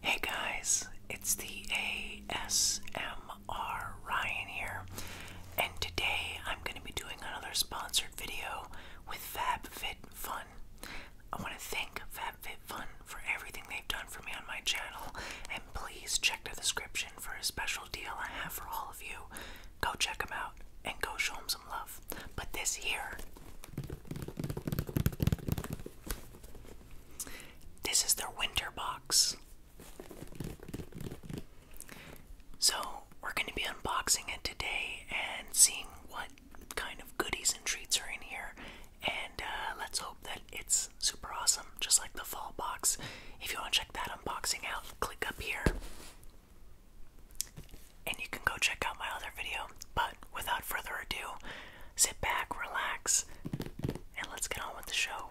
Hey guys, it's the ASMR Ryan here, and today I'm going to be doing another sponsored video with FabFitFun. I want to thank FabFitFun for everything they've done for me on my channel, and please check the description for a special deal I have for all of you. Go check them out and go show them some love. But this here, this is their winter box. So, we're going to be unboxing it today and seeing what kind of goodies and treats are in here. And uh, let's hope that it's super awesome just like the fall box. If you want to check that unboxing out, click up here. And you can go check out my other video. But without further ado, sit back, relax, and let's get on with the show.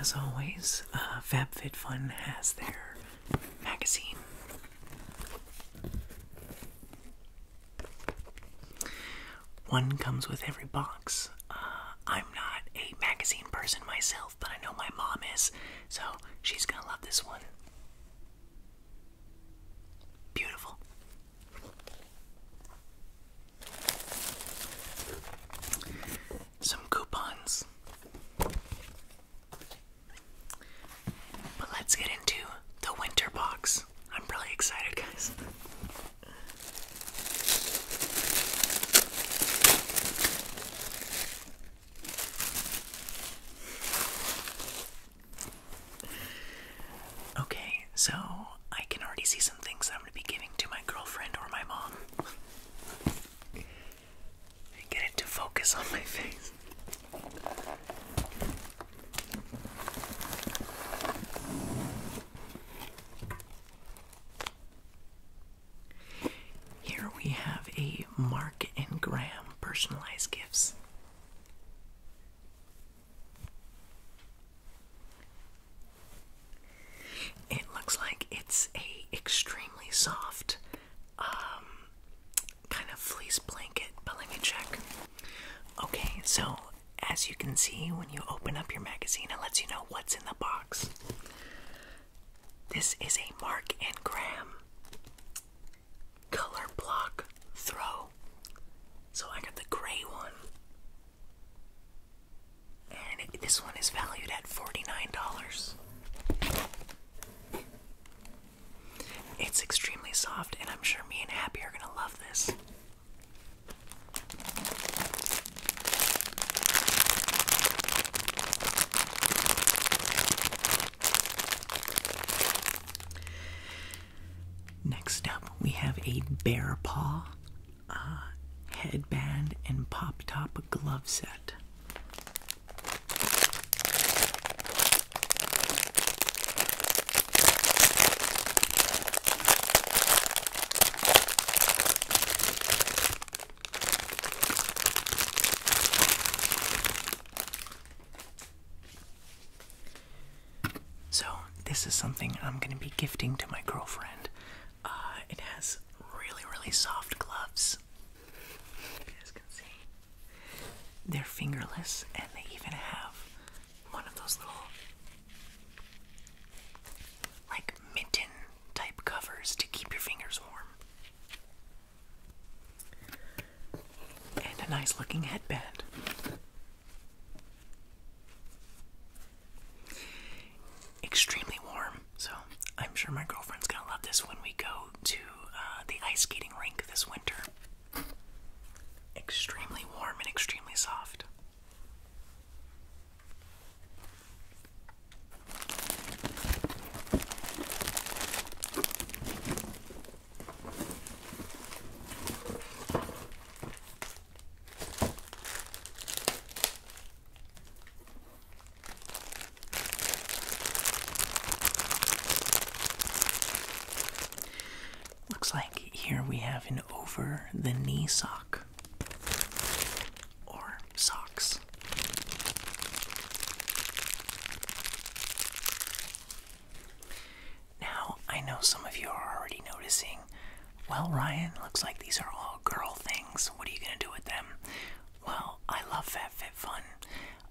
As always, uh, FabFitFun has their magazine. One comes with every box. Uh, I'm not a magazine person myself, but I know my mom is, so she's gonna love this one. Beautiful. Some coupons. But let's get into the winter box. I'm really excited, guys. Okay, so I can already see some things that I'm going to be giving to my girlfriend or my mom. Get it to focus on my face. Here we have a Mark and Graham personalized gifts. It looks like it's a extremely soft um kind of fleece blanket, but let me check. Okay, so as you can see when you open up your magazine, it lets you know what's in the box. This is a Mark and Graham color block throw. So I got the gray one. And this one is valued at $49. It's extremely soft, and I'm sure me and Happy are gonna love this. Next up, we have a bear paw uh, headband and pop top glove set. So, this is something I'm going to be gifting to my girlfriend. Uh, it has really, really soft gloves. They're fingerless, and they even have one of those little, like, mitten type covers to keep your fingers warm. And a nice looking headband. Extremely warm, so I'm sure my girlfriend's gonna love this when we go to uh, the ice skating rink this winter. Extremely warm and extremely soft. Looks like here we have an over the knee sock or socks. Now, I know some of you are already noticing, well, Ryan, looks like these are all girl things. What are you going to do with them? Well, I love Fit Fun.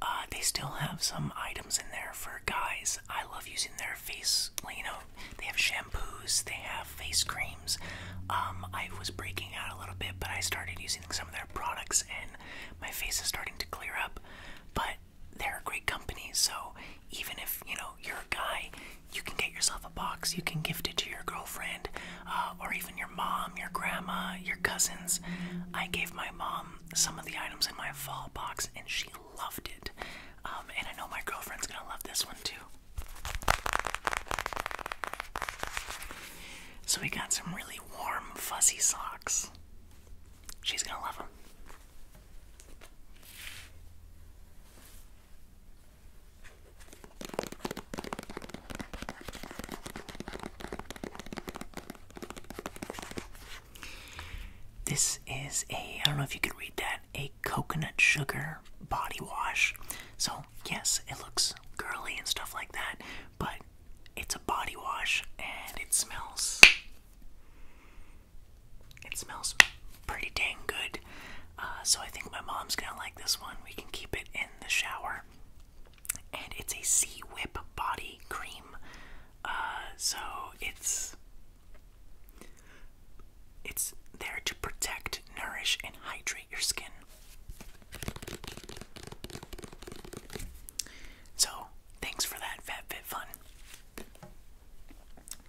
Uh, they still have some items in there for guys. I love using their face, you know, they have shampoos, they have face creams. Um, I was breaking out a little bit, but I started using some of their products, and my face is starting to clear up. But they're a great company, so even if you know you're a guy, you can get yourself a box. You can gift it to your girlfriend, uh, or even your mom, your grandma, your cousins. I gave my mom some of the items in my fall box, and she loved it. Um, and I know my girlfriend's gonna love this one too. So we got some really warm, fuzzy socks. She's gonna love them. This is a, I don't know if you could read that, a coconut sugar body wash. So, yes, it looks girly and stuff like that, but it's a body wash and it smells it smells pretty dang good uh, so i think my mom's gonna like this one we can keep it in the shower and it's a sea whip body cream uh, so it's it's there to protect nourish and hydrate your skin. So, thanks for that, FatFitFun.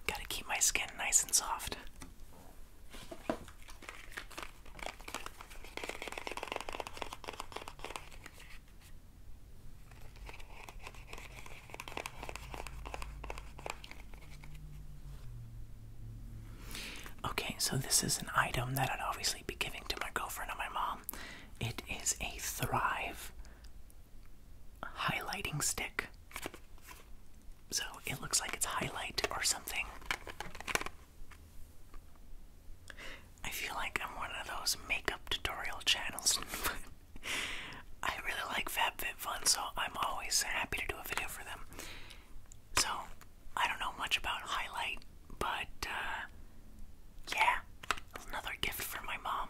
Gotta keep my skin nice and soft. Okay, so this is an item that I'd obviously be giving to my girlfriend or my mom. It is a Thrive highlighting stick. So it looks like it's highlight or something. I feel like I'm one of those makeup tutorial channels. I really like FabFitFun, so I'm always happy to do a video for them. So I don't know much about highlight, but uh, yeah, another gift for my mom.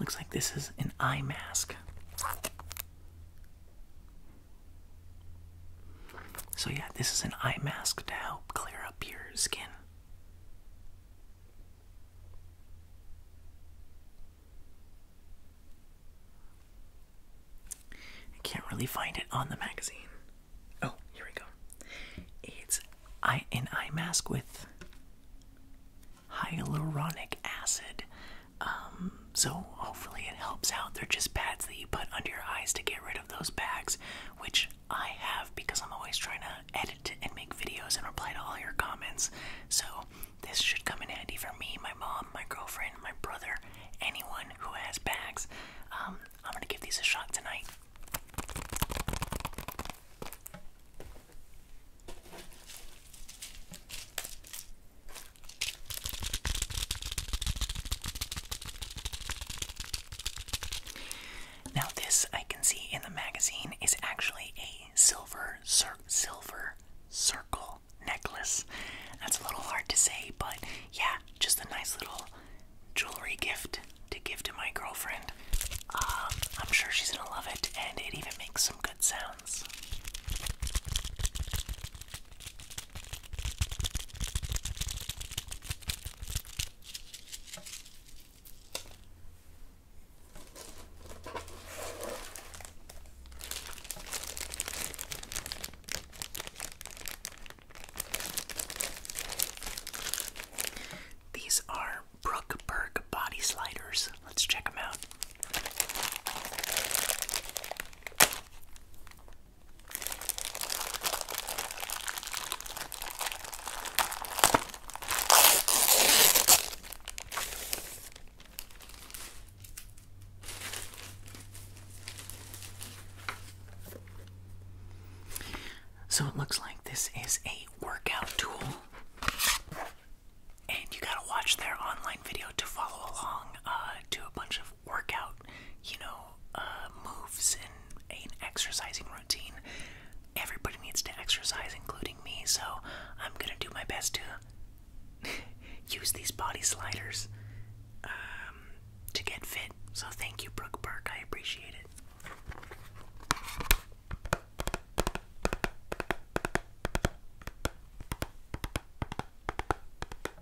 Looks like this is an eye mask. So, yeah, this is an eye mask to help clear up your skin. I can't really find it on the magazine. Oh, here we go. It's an eye mask with hyaluronic acid. Um, so hopefully it helps out. They're just pads that you put under your eyes to get rid of those bags, which I have because I'm always trying to edit and make videos and reply to all your comments. So this should come in handy for me, my mom, my girlfriend, my brother, anyone who has bags. Um, I'm gonna give these a shot tonight. Now this I can see in the magazine is actually a silver silver circle necklace. That's a little hard to say, but yeah, just a nice little jewelry gift to give to my girlfriend. Um, I'm sure she's gonna love it, and it even makes some good sounds. These are Brookberg body sliders. Let's check them out. So it looks like this is a workout tool. And you gotta watch their online video to follow along uh, to a bunch of workout, you know, uh, moves and an exercising routine. Everybody needs to exercise, including me, so I'm gonna do my best to use these body sliders um, to get fit. So thank you, Brook Park. I appreciate it.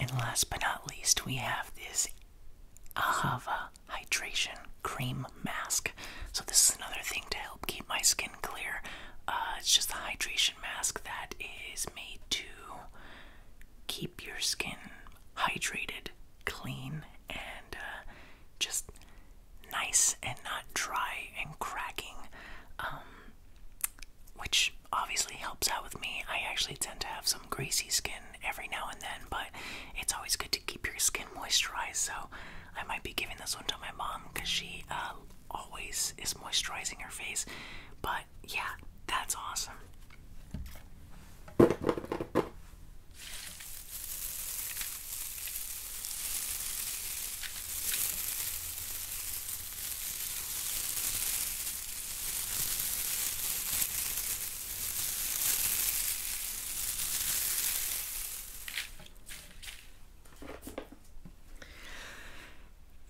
And last but not least, we have this Ahava hydration cream mask. So this is another thing to help keep my skin clear. Uh, it's just a hydration mask that is made to keep your skin hydrated, clean, and uh, just nice and not dry and cracking. Um, which obviously helps out with me. I actually tend to have some greasy skin every now and then, but it's always good to keep your skin moisturized. So I might be giving this one to my mom because she uh, always is moisturizing her face. But yeah, that's awesome.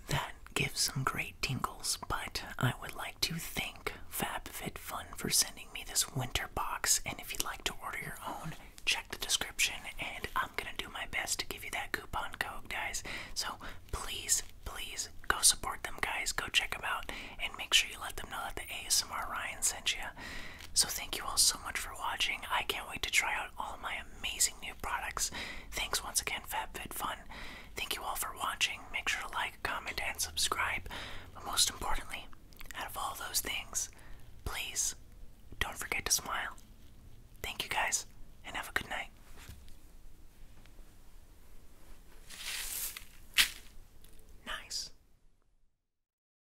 That gives some great tingles, but I would like to thank FabFitFun for sending me this winter box. And if you'd like to order your own, check the description, and I'm gonna do my best to give you that coupon code, guys. So please, please go support them, guys. Go check them out, and make sure you let them know that the ASMR Ryan sent you. So, thank you all so much for watching. I can't wait to try out all my amazing new products. Thanks once again, FabFitFun. Thank you all for watching. Make sure to like, comment, and subscribe. But most importantly, out of all those things, please don't forget to smile. Thank you guys, and have a good night. Nice.